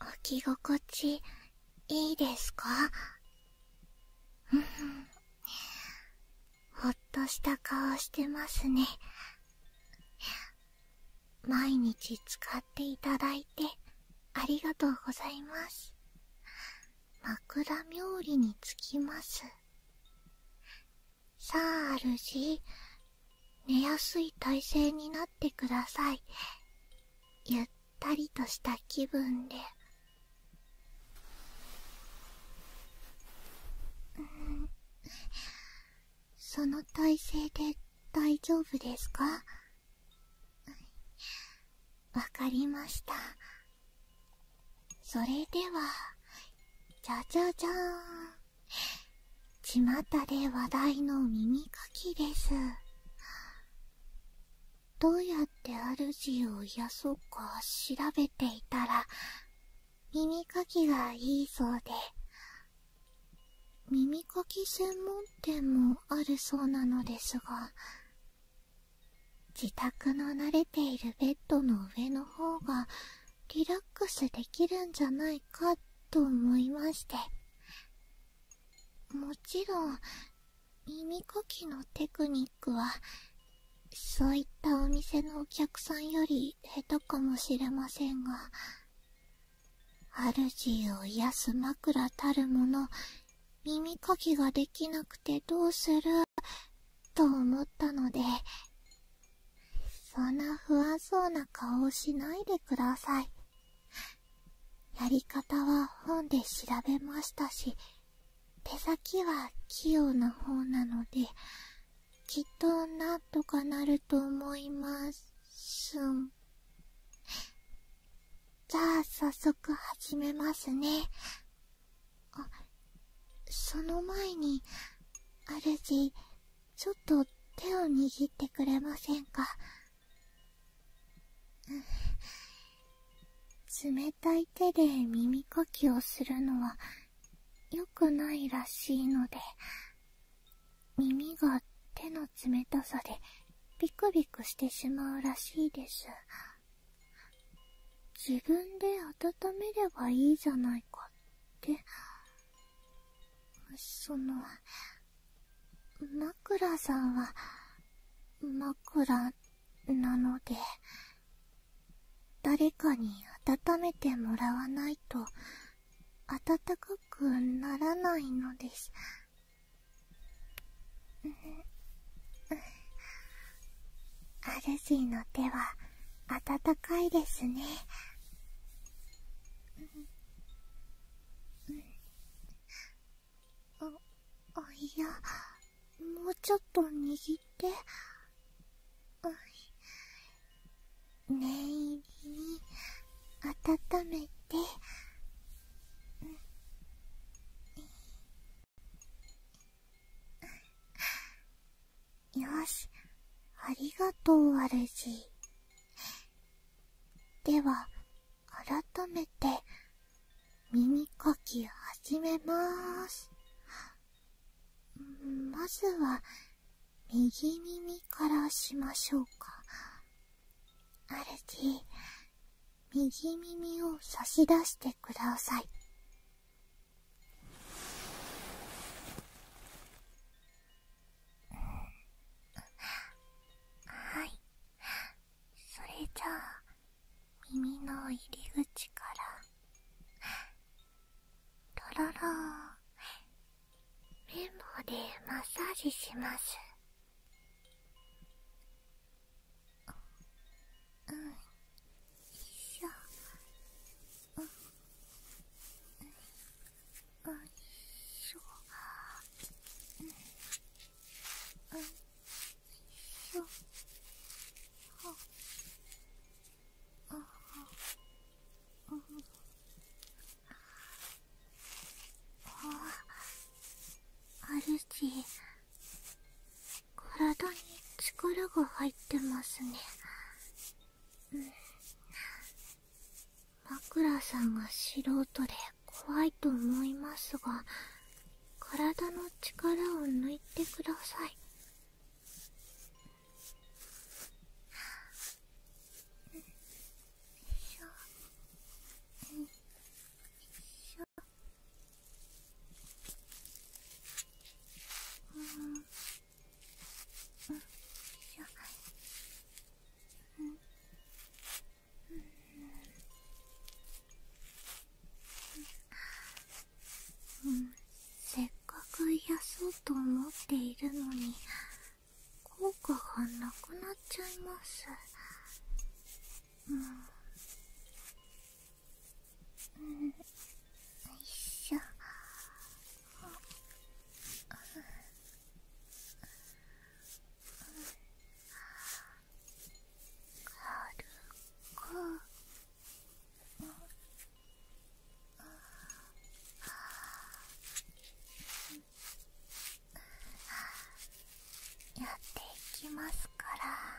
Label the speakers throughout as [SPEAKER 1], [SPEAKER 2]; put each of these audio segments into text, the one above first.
[SPEAKER 1] 置き心地いいですか ほっとした顔してますね毎日使っていただいてありがとうございます枕冥利につきますさああ寝やすい体勢になってくださいゆったりとした気分でその体勢で大丈夫ですかわかりましたそれではじゃじゃじゃーんちまたで話題の耳かきですどうやって主を癒そうか調べていたら耳かきがいいそうで耳かき専門店もあるそうなのですが自宅の慣れているベッドの上の方がリラックスできるんじゃないかと思いましてもちろん耳かきのテクニックはそういったお店のお客さんより下手かもしれませんが主を癒す枕たるもの耳かきができなくてどうすると思ったのでそんな不安そうな顔をしないでくださいやり方は本で調べましたし手先は器用な方なのできっとなんとかなると思いますんじゃあさっそく始めますねあその前に主ちょっと手を握ってくれませんか冷たい手で耳かきをするのはよくないらしいので耳が手の冷たさでビクビクしてしまうらしいです自分で温めればいいじゃないかってその枕さんは枕なので誰かに温めてもらわないと温かくならないのですん主の手は温かいですねおいやもうちょっと握って念入りに温めてん、ん…よし、ありがとう、主。では、改めて、耳かき始めまーす。まずは、右耳からしましょうか。あるじ、右耳を差し出してください。
[SPEAKER 2] はいそれじゃあ耳の入り口からとろろ綿棒でマッサージしますうんよいしょあっしょあっしょああああ
[SPEAKER 1] あるじ体に力が入ってますね、枕さんが素人で怖いと思いますが体の力を抜いてください
[SPEAKER 2] うんうんよううん
[SPEAKER 1] うんせっかく癒やそうと思っているのに効果がなくな
[SPEAKER 2] っちゃいますうんうんよいしょ軽くやっていきますから。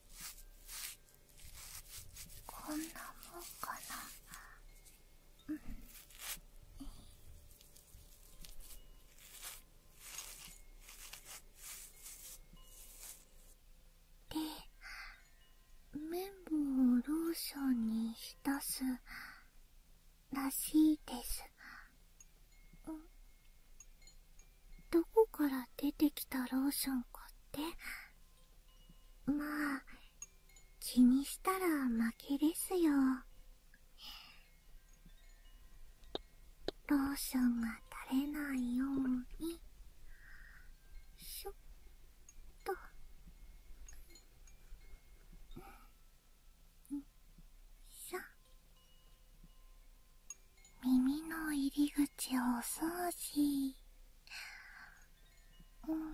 [SPEAKER 2] こんなもんかな
[SPEAKER 1] で綿棒をローションに浸すらしいですどこから出てきたローションかってまあ気にしたら負けですよローションが垂れないようにしょっ
[SPEAKER 2] とんしょ耳の入り口をお掃除うんうんん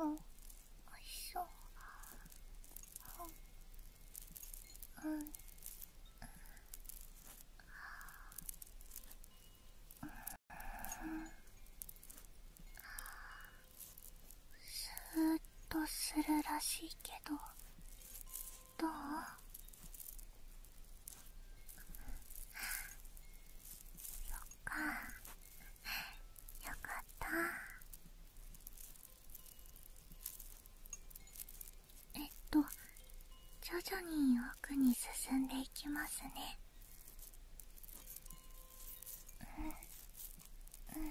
[SPEAKER 2] おいしそううんうんうんスーッとするらしいけどどうそっか
[SPEAKER 1] よかったえっと徐々に奥に進んでいきますねうんうん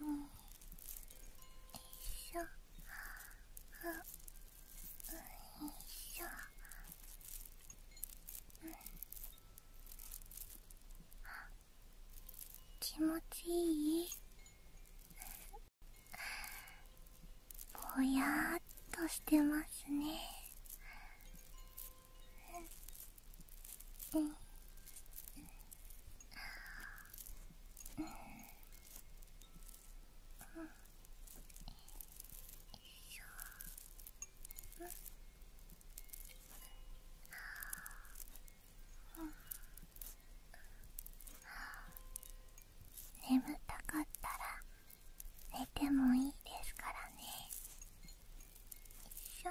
[SPEAKER 2] うんよいしょあん、いしょうん
[SPEAKER 1] 気持ちいいぼやーっとしてますねん。ああ。
[SPEAKER 2] ああ。眠たかったら寝てもいいですからね。よいしょ。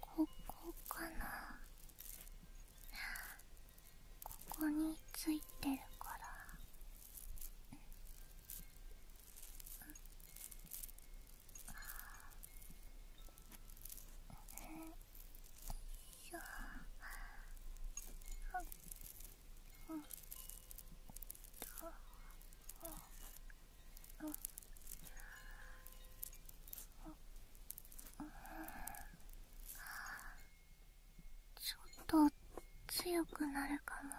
[SPEAKER 1] ここかなここについてるから
[SPEAKER 2] よっと。ちょっと強くなるかも。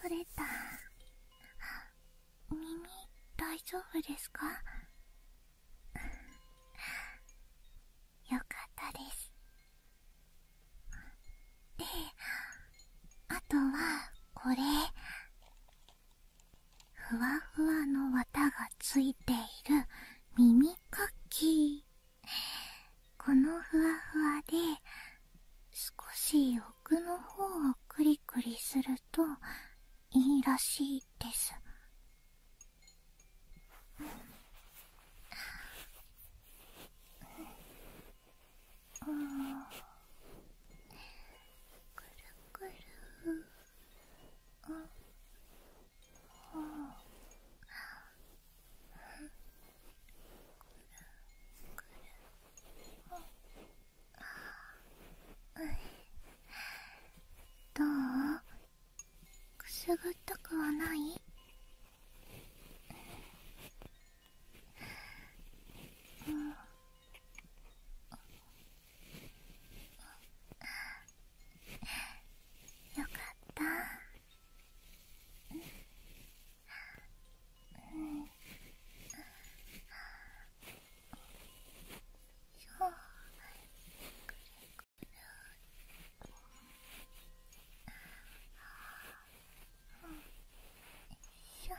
[SPEAKER 1] 取れた耳大丈夫ですか
[SPEAKER 2] よかったです
[SPEAKER 1] であとはこれふわふわの綿がついている耳かきこのふわふわで少し奥の方をクリクリするといいらしいですうんくる
[SPEAKER 2] くるどうくすぐったくはないうんよかったうんうんそううん、よいしょ。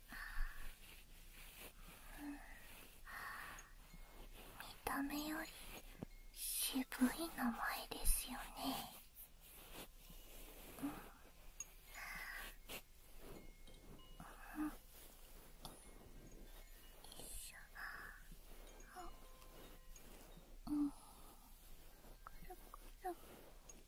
[SPEAKER 1] 見た目より渋い名前ですよね、うん
[SPEAKER 2] うん、うん、くるくる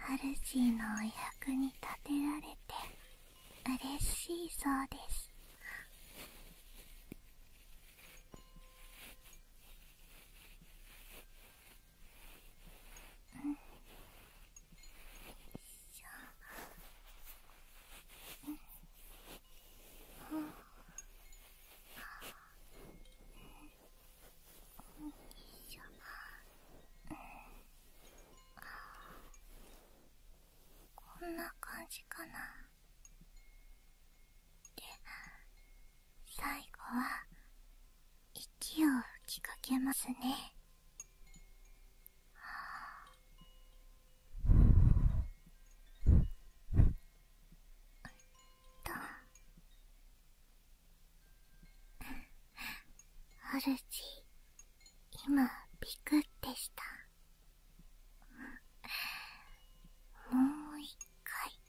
[SPEAKER 1] ハルーのお役に立てられて嬉しいそうです
[SPEAKER 2] ん、ん、しょ…よいしょうん、
[SPEAKER 1] こんな感じかなで最後は息を吹きかけますねは
[SPEAKER 2] どう主今ピクってしたもう一回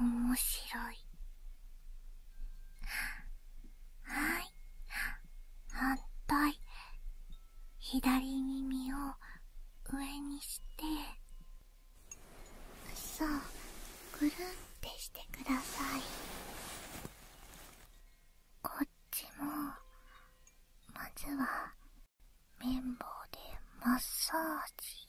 [SPEAKER 1] 面白いはい反対左耳を上にしてそうぐるんってしてください
[SPEAKER 2] こっちもまずは綿棒でマッサージ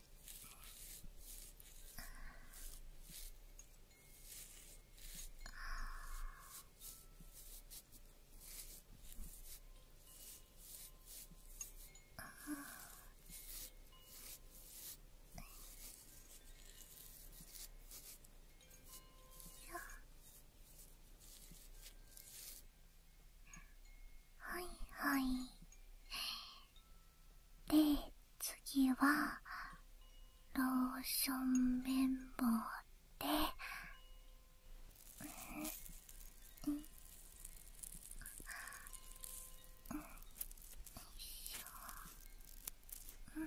[SPEAKER 2] はいはいで、次は、ローション綿棒で、うん、うん、よいしょ、うん、ど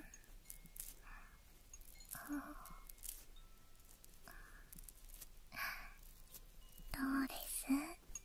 [SPEAKER 2] うです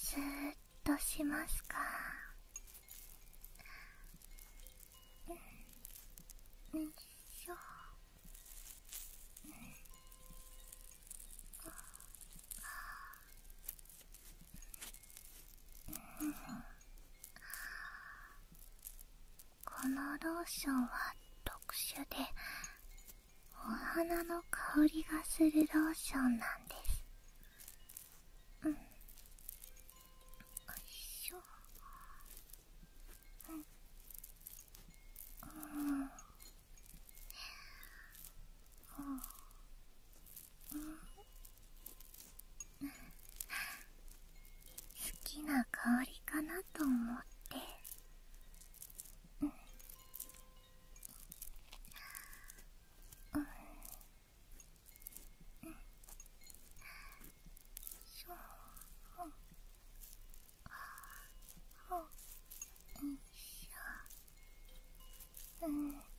[SPEAKER 2] スーっとしますかうんよいしょうん
[SPEAKER 1] このローションは特殊でお花の香りがするローションなんですうんよいし
[SPEAKER 2] ょうんうん、うん好きな香りかなと思って、うんうんそううん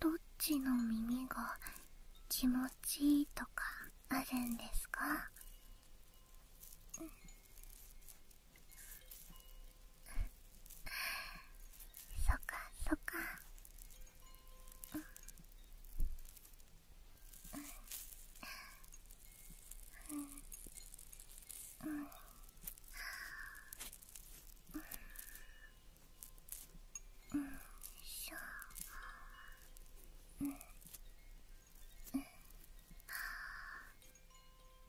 [SPEAKER 1] どっちの耳が気持ちいいとかあるんですか
[SPEAKER 2] そかそか、うんうんうん、うんしょんん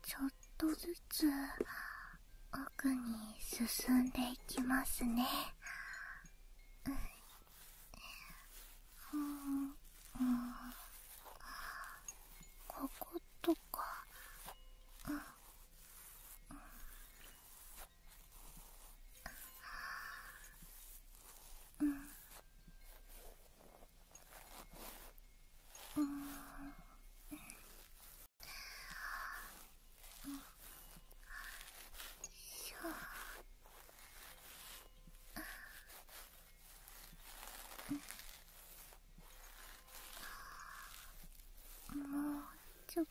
[SPEAKER 1] ちょっとずつ奥に進んでいきますねんうん
[SPEAKER 2] こことかうんうんうんうんうんしょもうちょっと。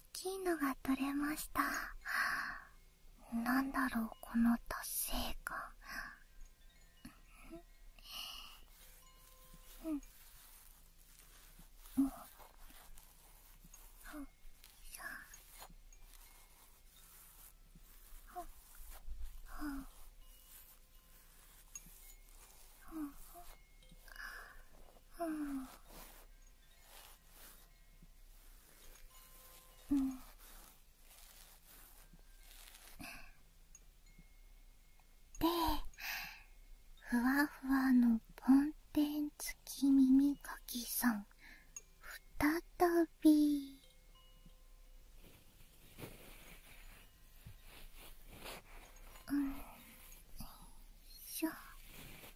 [SPEAKER 1] 大のが取れましたなんだろうこの達成感うん
[SPEAKER 2] うんうんうんで
[SPEAKER 1] ふわふわのポンテンつき耳かきさんふたたび
[SPEAKER 2] うんしょ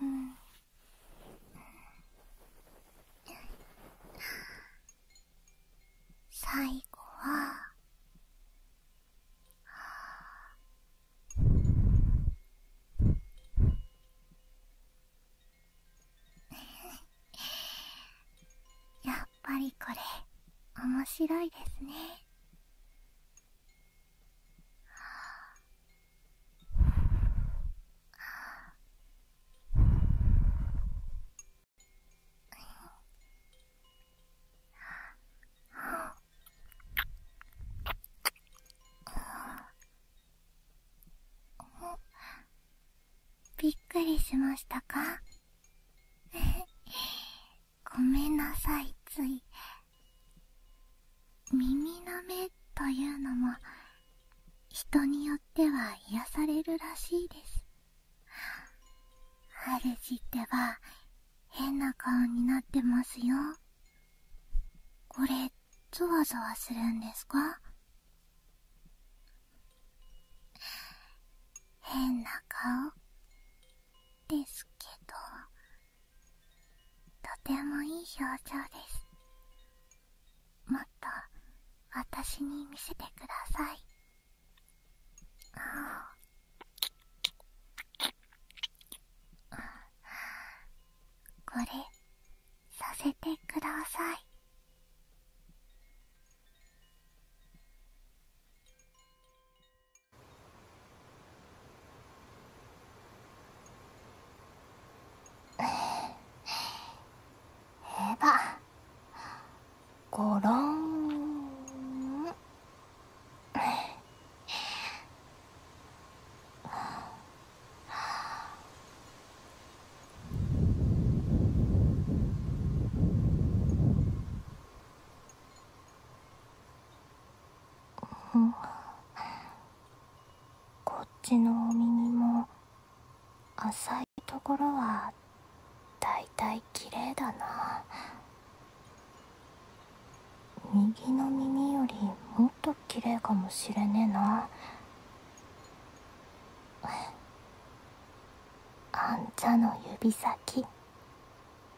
[SPEAKER 2] うんうん。最後は
[SPEAKER 1] やっぱりこれ面白いですねびっくりしましたかごめんなさいつい耳なめというのも人によっては癒されるらしいです主ってば変な顔になってますよこれゾワゾワするんですか
[SPEAKER 2] 変な顔ですけど
[SPEAKER 1] とてもいい表情ですもっと私に見せてください
[SPEAKER 2] ああこれさせてください
[SPEAKER 1] えばごろんこっちのお耳も浅いところはだいたい綺麗だな右の耳よりもっと綺麗かもしれねえなあんたの指先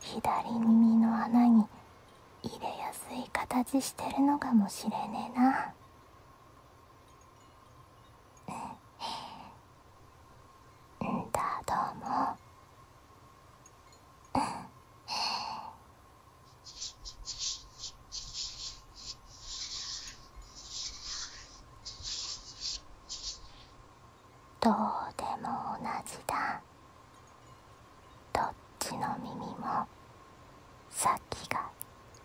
[SPEAKER 1] 左耳の穴に入れやすい形してるのかもしれねえなうんだどうもうんどうでも同じだどっちの耳も先が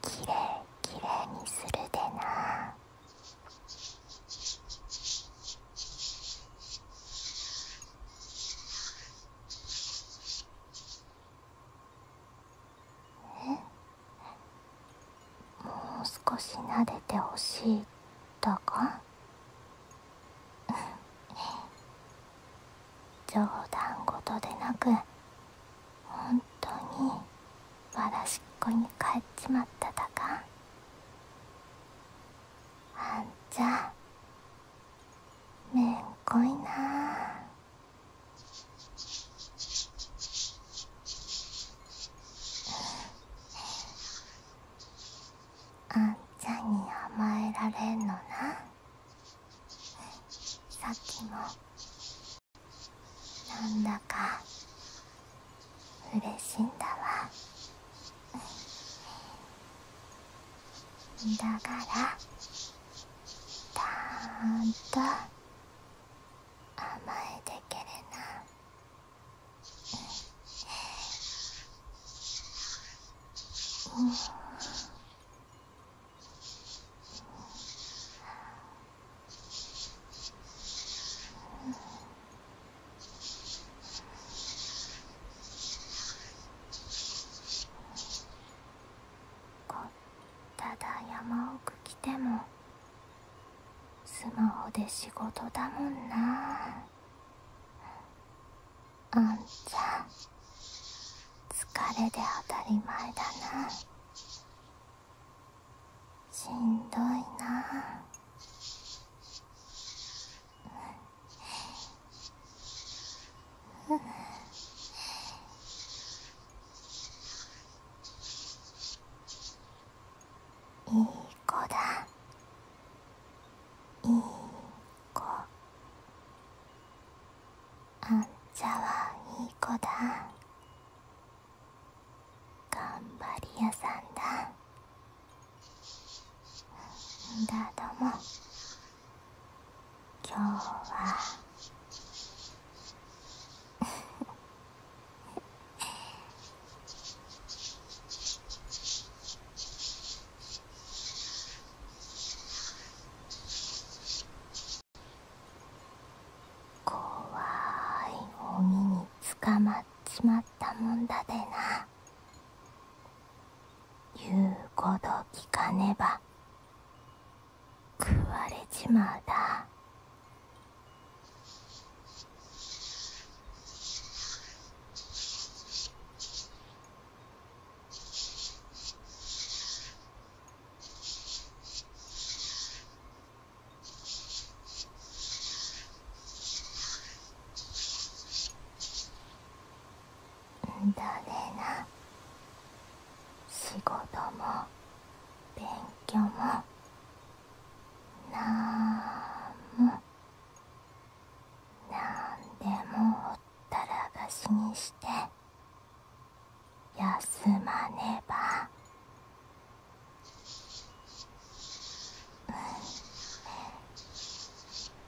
[SPEAKER 1] きれいきれいにす
[SPEAKER 2] るでな
[SPEAKER 1] えもう少し撫でてほしいだか 冗談事でなく本当にわらしっこに帰っちまっただかあんちゃめんこいなあんちゃんに甘えられんのなさっきもなんだか嬉しいんだわだからたーんと甘えてけれなうん。こっただ山奥来てもスマホで仕事だもんなあんちゃん疲れで当たり前だなしんどいなう
[SPEAKER 2] んいい子だ
[SPEAKER 1] いいあんたはいい子だ頑張り屋さんだんだども今日は怖い鬼ミに捕まっちまったもんだでな言うこと聞かねば食われちまうだだねな仕事も勉強もなんもなんでもほたらがしにして休まねば。うん。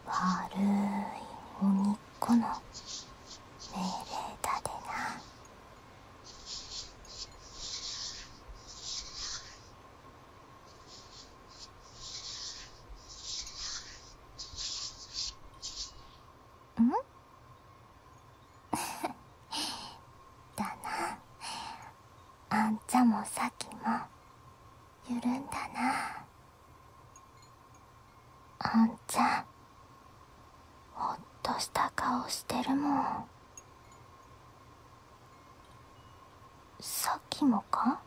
[SPEAKER 1] 悪いにっ子の命令だでなんだなあんちゃんもさきもゆるんだなあんちゃんほっとした顔してるもんさっきもか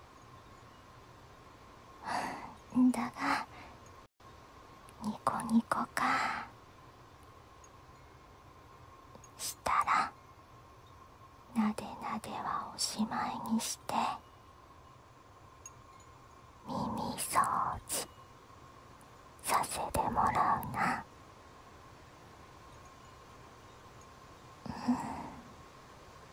[SPEAKER 1] だがニコニコかしたらなでなではおしまいにして耳掃除させてもらうなうん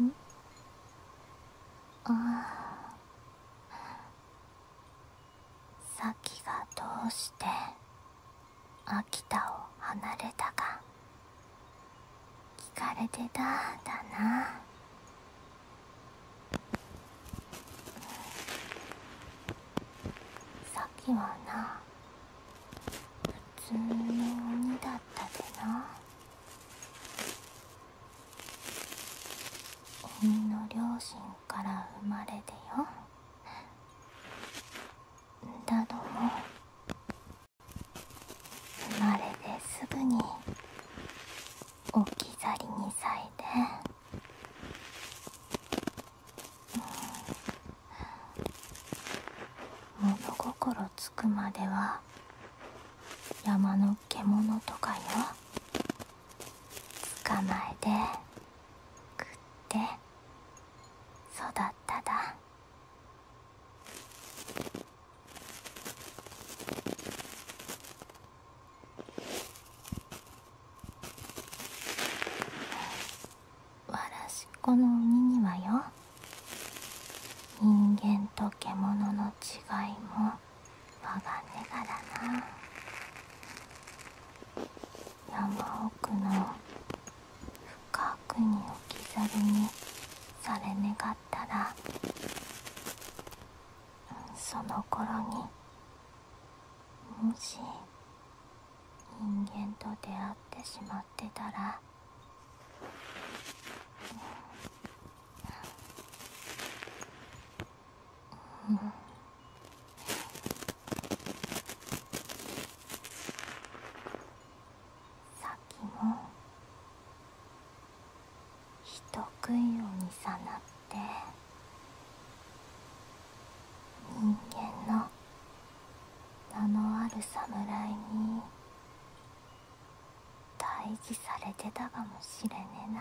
[SPEAKER 1] うんああ咲がどうして秋田を離れたが聞かれてただなさっきはな普通の鬼だったでな鬼の両親から生まれてよだの生まれですぐに置き去りにさいて、うん、物心つくまでは山の獣とかよ捕まえて食って育っただ。わらしこの海にはよ人間と獣の違いも我がねがだな山奥の深くに置き去りにされ願ったらその頃にもし人間と出会ってしまってたらうん。先も人食いをにさなって人間の名のある侍に退治されてたかもしれねえな。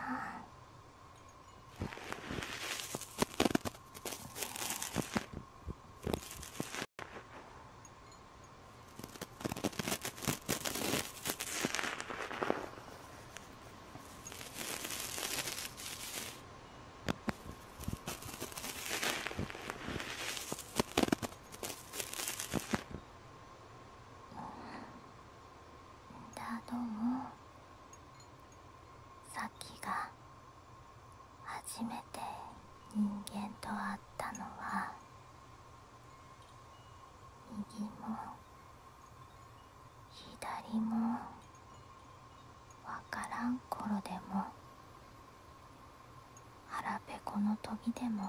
[SPEAKER 1] だどもさっきが。初めて人間と会ったのは右も左も分からん頃でも腹ペコの時でも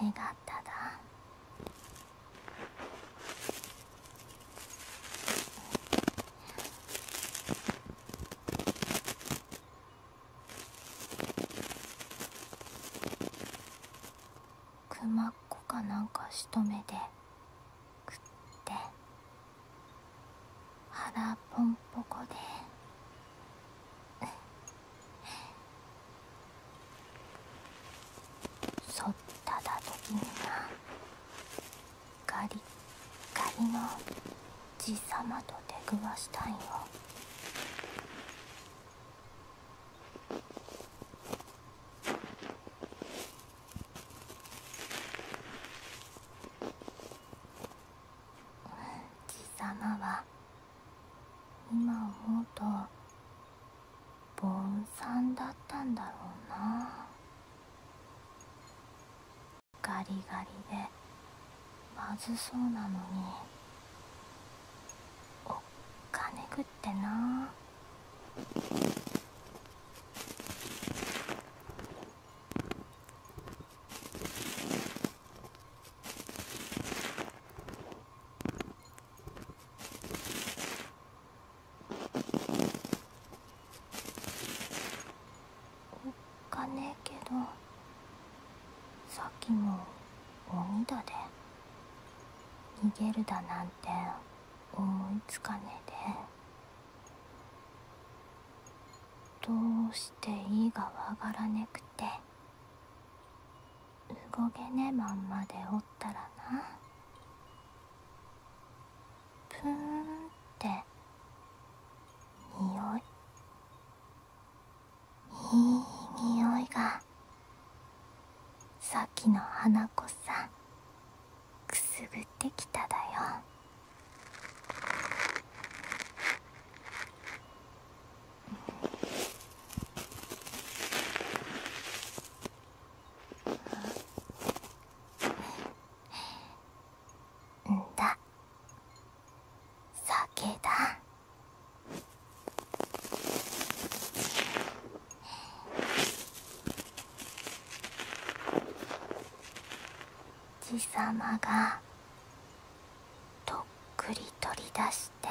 [SPEAKER 1] 願っただくまっこかなんかしとめで食って腹ポンポコで そっただ時になガり、ガリの爺様と出くわしたいよ爺様は今思うとボンさんだったんだろうなガリガリでまずそうなのにおっかねぐってなおっかねえけどさっきも鬼だで逃げるだなんて思いつかねえでどうしていいがわからねくて動けねえまんまでおったらなプーンって匂いいい匂いがさっきの花子さんくすぐってきただよんだ酒だ爺様がとっくり取り出して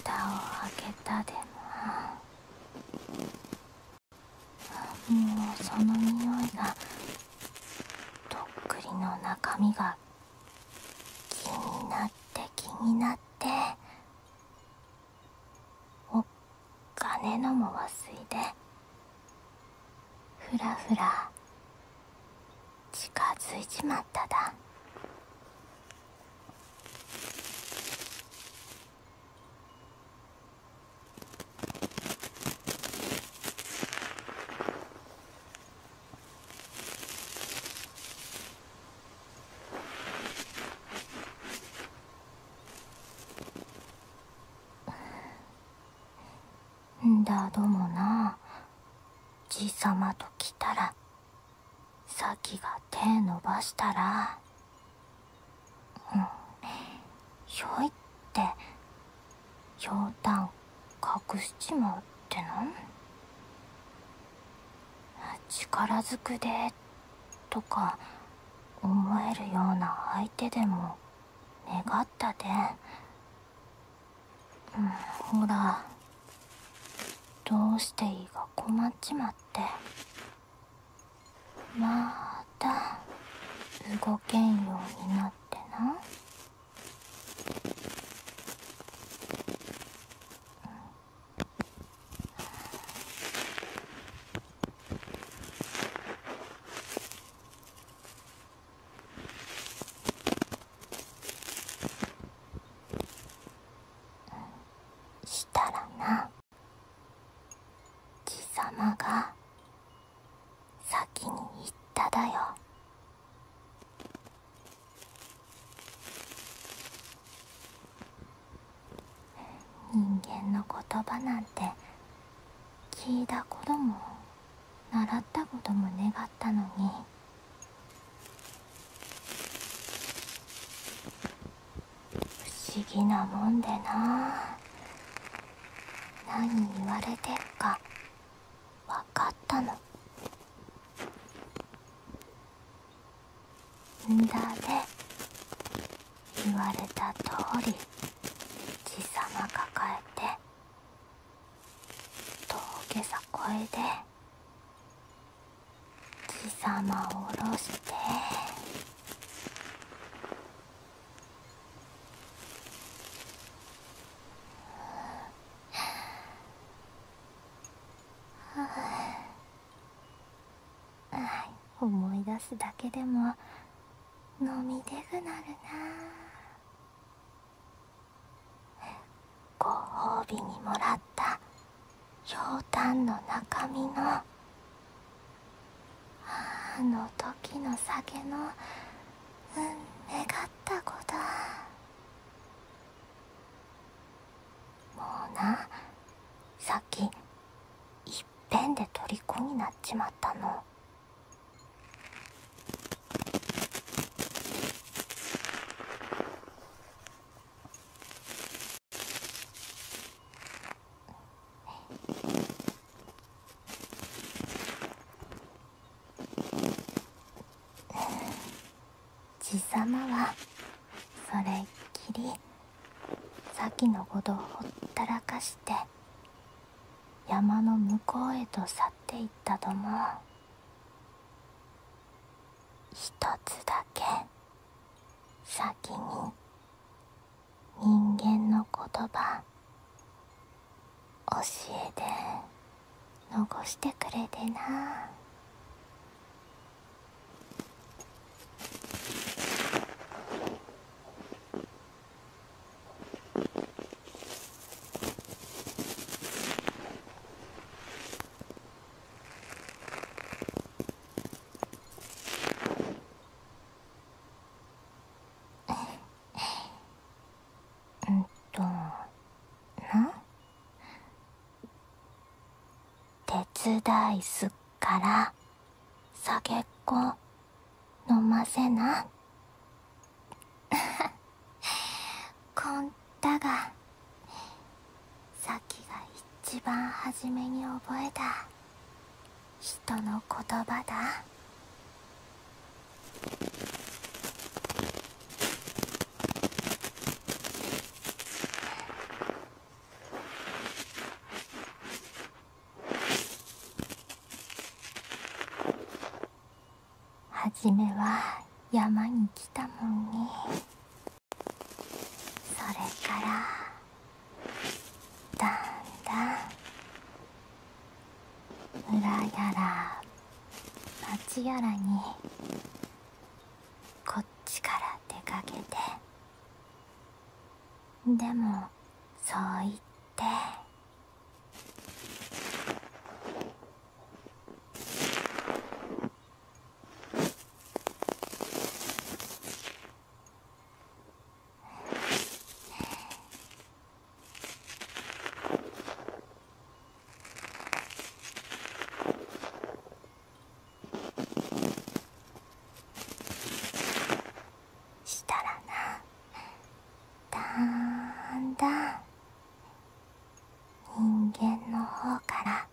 [SPEAKER 1] 蓋を開けたでももうその匂いがとっくりの中身が気になって気になってお金のも忘れでふらふら近づいちまっただだどもな爺いさまと来たら咲が手伸ばしたらうんひょいって冗談隠しちまうっての？力ずくでとか思えるような相手でも願ったで、ん、ほらどうしていいか困っちまってまた動けんようになってな。したらな貴様が先に言っただよ人間の言葉なんて聞いたことも習ったことも願ったのに不思議なもんでな何言われてっか分かったのんだで言われた通り爺様抱えて峠さこえで爺様を下ろして。ははあ。あ。思い出すだけでも飲みでぐなるなご褒美にもらったひょうたんの中身のあの時の酒のうん願った子だもうなさっきいっぺんで虜になっちまったの。爺様はそれっきり先のことをほったらかして山の向こうへと去っていったども一つだけ先に人間の言葉教えて残してくれてなうんとな手伝いすっから酒っこ飲ませな こんたがさっきが一番初めに覚えた。人の言葉だ初めは山に来たもんねそれからだんだん村やら町やらにこっちから出かけてでもそう言ってうん。したらなだんだん人間の方から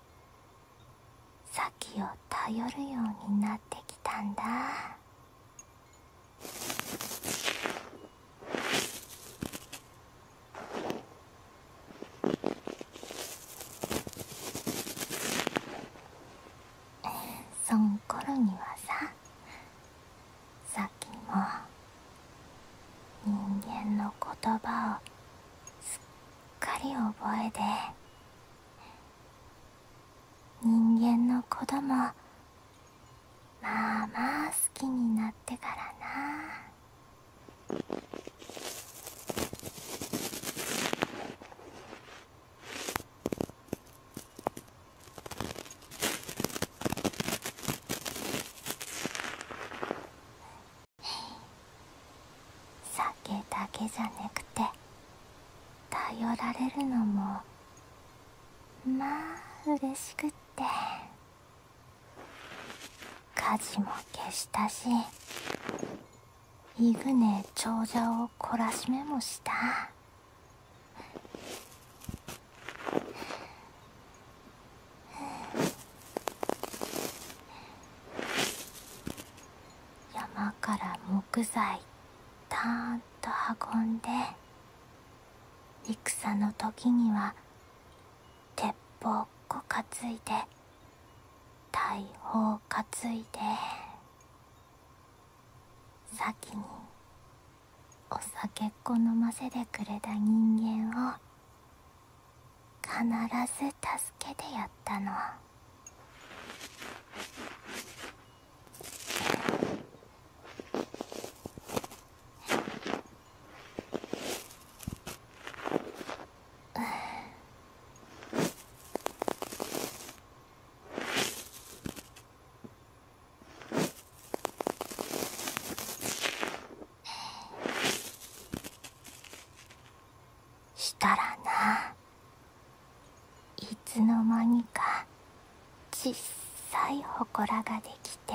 [SPEAKER 1] 先を頼るようになってきたんだ。えそん頃にはささっきも人間の言葉をすっかり覚えて人間の子供まあまあ好きになってからな酒だけじゃなくて頼られるのもまあ嬉しくって火事も消したしイグネ長者を懲らしめもした山から木材たーんと運んで。戦の時には鉄砲っこ担いで大砲担いで先にお酒っこ飲ませてくれた人間を必ず助けてやったの。したらないつの間にかちっさいほこらができて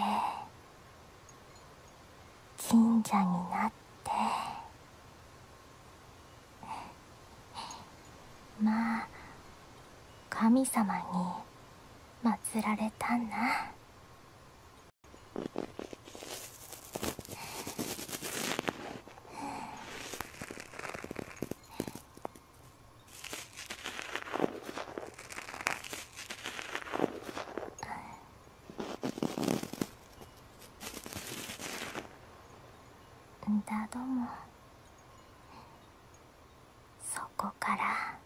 [SPEAKER 1] 神社になって まあ神様にまつられたんだ。うんだどもそこから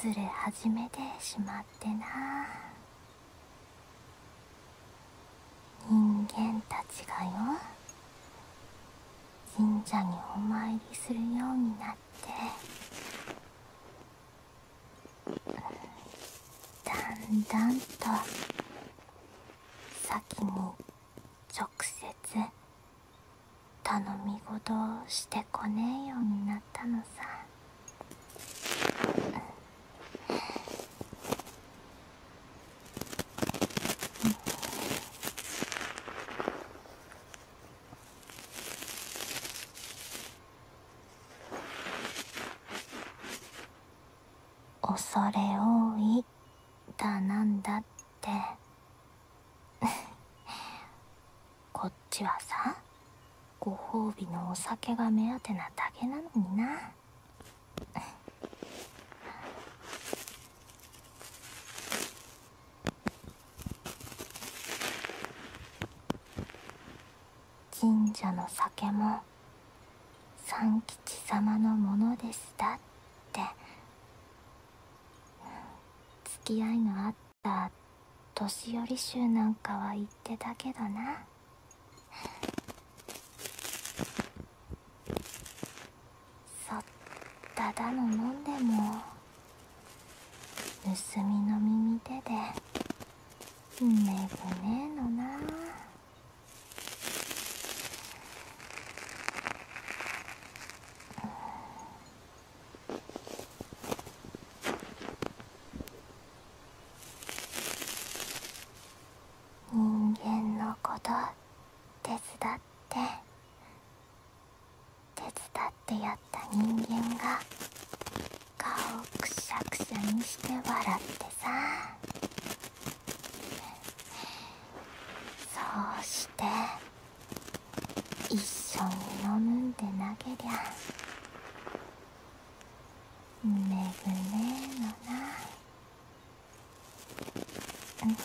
[SPEAKER 1] ズレ始めてしまってな人間たちがよ神社にお参りするようになってだんだんと先に直接頼み事をしてこねえようになったのさ恐れ多いだなんだって こっちはさご褒美のお酒が目当てなだけなのにな神社の酒も三吉様のものでしたってつきあいのあった年寄り衆なんかは言ってたけどなそっただの飲んでも盗みの耳手でめぐねえのな人間のこと手伝って。手伝ってやった人間が顔をくしゃくしゃにして笑ってさそうして一緒に飲むんで投げりゃめぐねえのなうん。で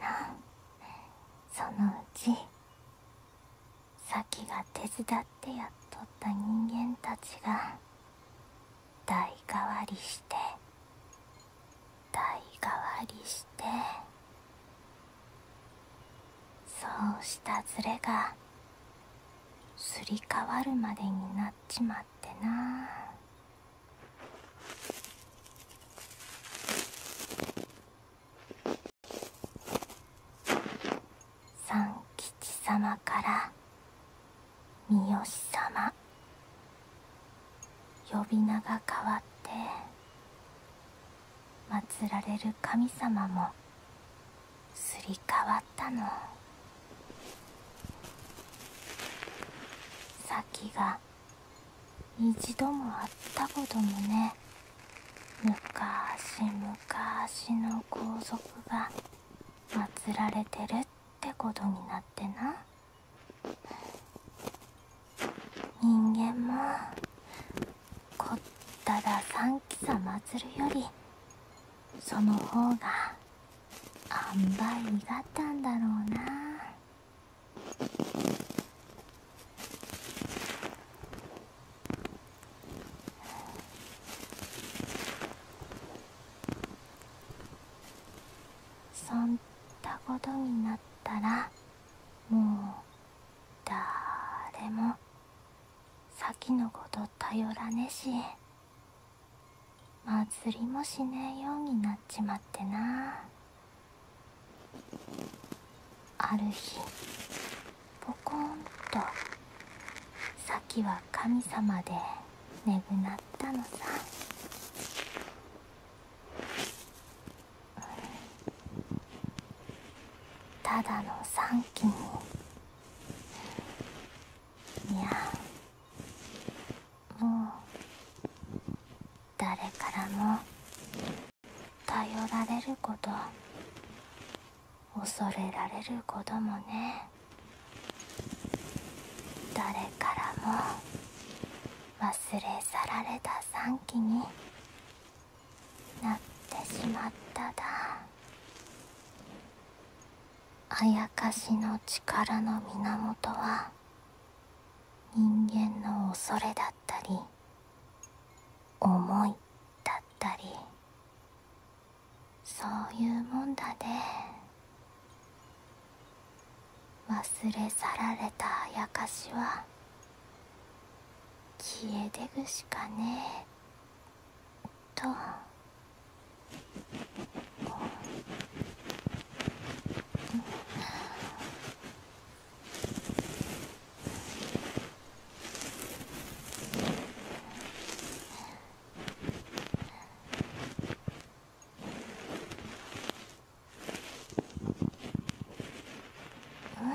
[SPEAKER 1] なそのうちさきが手伝ってやっとった人間たちが代替わりして代替わりしてそうしたズレがすり替わるまでになっちまってな三吉様から三好様呼び名が変わって祀られる神様もすり替わったの先が一度もあったこともね昔昔の皇族が祀られてるってことになってな。人間もこっただ三さま祭るよりその方があんばいにがったんだろうなそんなことになったら。もうだれも先のこと頼らねえし祭りもしねえようになっちまってなある日ポコンと先は神様でねぐなったのさただの三期にいやもう誰からも頼られること恐れられることもね誰からも忘れ去られた3期になってしまっただあやかしの力の源は人間の恐れだったり思いだったりそういうもんだで。忘れ去られたあやかしは消えでぐしかねえと
[SPEAKER 2] うん。はあ。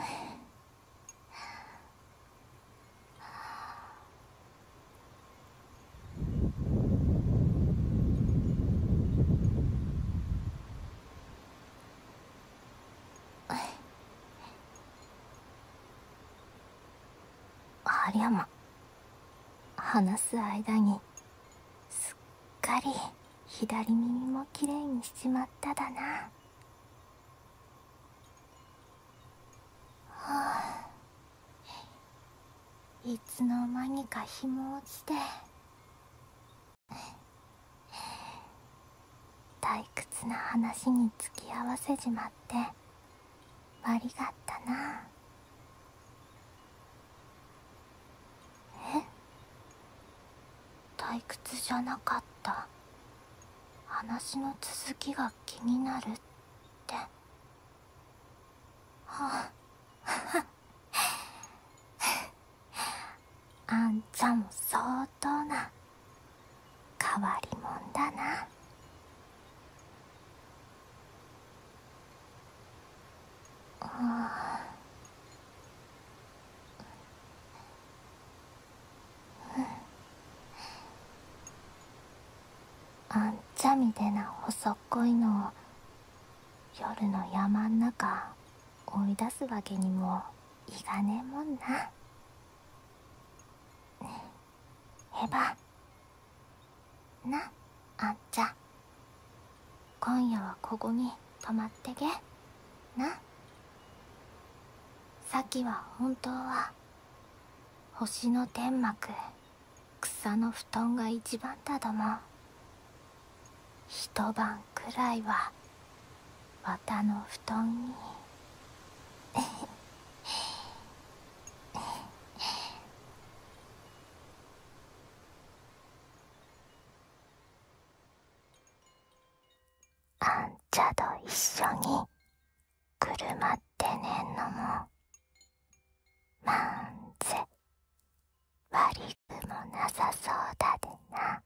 [SPEAKER 1] あ話す間にすっかり。左耳もきれいにしちまっただないつの間にか日も落ちて退屈な話に付き合わせじまってありがったなえっ退屈じゃなかった話の続きが気になるってあっ あんちゃんも相当な変わり者だなああ。んちゃみでな細っこいのを夜の山ん中追い出すわけにもいかねえもんなえ。へばなあんちゃ今夜はここに泊まってけなさきは本当は星の天幕草の布団が一番だども一晩くらいは綿の布団に あんちゃといっしょにくるまってねんのもまんぜわりくもな
[SPEAKER 2] さそうだでな。